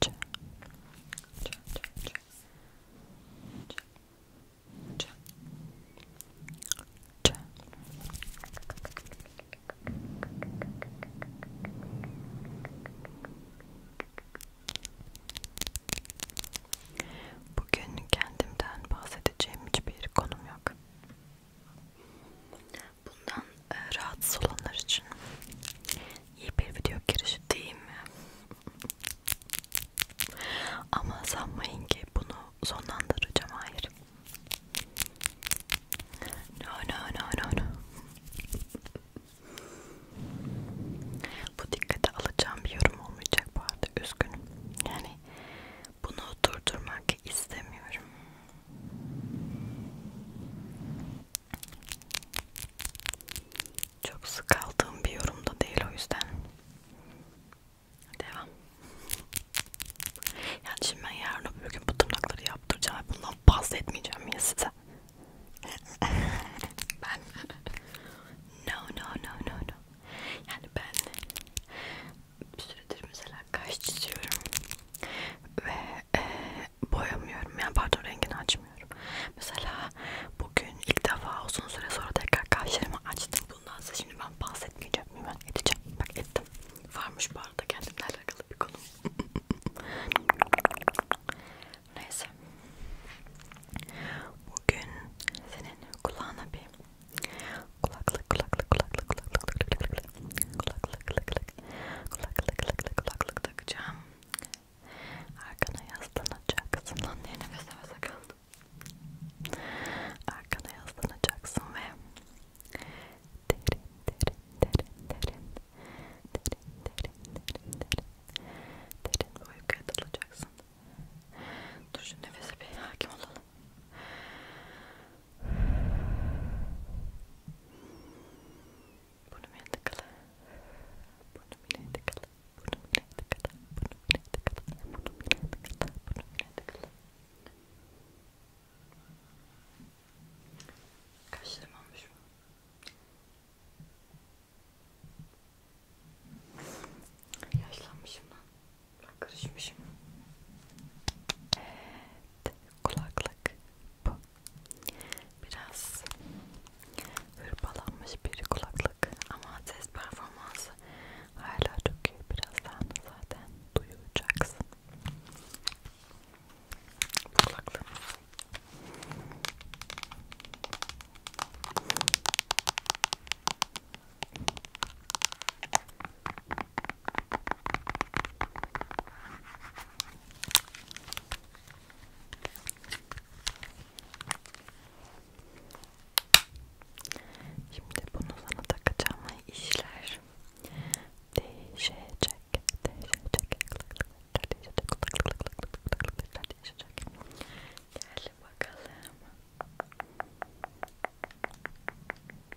çak çak çak çak çak çak Bugün kendimden bahsedeceğim hiçbir konum yok. Bundan e, rahatsız olanlar için iyi bir video girişi değil mi? Ama sanmayın ki bunu sonlandıracağım hayır. No no no no no. Bu dikkate alacağım bir yorum olmayacak bu arada üzgünüm. Yani bunu durdurmak istemiyorum. Çok sık aldığım bir yorumda değil o yüzden. Devam. Yani şimdi ben yarın öbür gün bu tırnakları yaptıracağım. Bundan bahsetmeyeceğim ya size. ben no no no no no. Yani ben bir süredir mesela kaş çiziyorum ve e, boyamıyorum. Yani pardon rengini açmıyorum. Mesela bugün ilk defa uzun süre sonra tekrar kaşlarımı açtım. Bundan size şimdi ben bahsetmeyeceğim. Hemen edeceğim. Bak ettim. Varmış bu arada kendimle alakalı bir konu. Neyse. Bugün senin kulağına bir kulaklık kulaklık kulaklık kulaklık kulaklık kulaklık kulaklık kulaklık kulaklık kulaklık takacağım arkana yaslanacaksın lan diye nefes nefese kaldım arkana yaslanacaksın ve derin derin derin derin derin derin derin derin derin uykuya dalacaksın dur şu nefese bir hakim olalım Burnumu tıkala. Burnumu tıkala. Burnumu tıkala. Burnumu tıkala. Burnumu tıkala. Burnumu tıkala. Kaşlarım olmuş mu? Yaşlanmışım lan. Karışmışım. Evet, kulaklık bu. Biraz hırpalanmış bir kulaklık ama ses performansı hala çok iyi. Birazdan zaten duyacaksın. Kulaklık. Şimdi bunu sana takacağım ve işler değişecek, değişecek, değişecek, değişecek. Gel bakalım.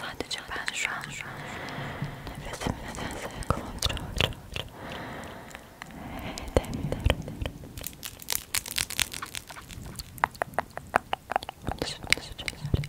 Sadece ben şu an şu an nefesimi nedense kontrol edemiyorum. Şimdi, şimdi, şimdi,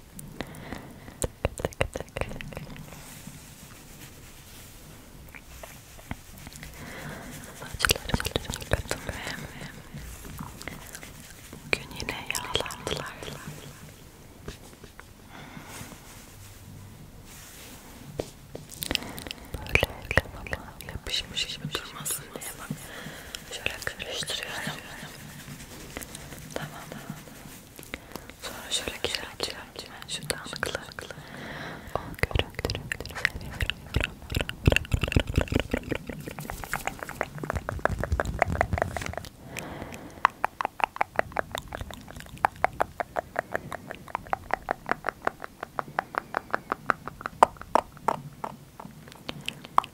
Tık, tık, tık. Saçlarımı yıkadım ve bugün yine yağlandılar. Böyle kafama yapışmış gibi durmasın diye bak. Şöyle karıştırıyorum. Tamam tamam. Sonra şöyle güzel açıyorum. Şu dağınıklıkla. O görüntüleri seviyorum.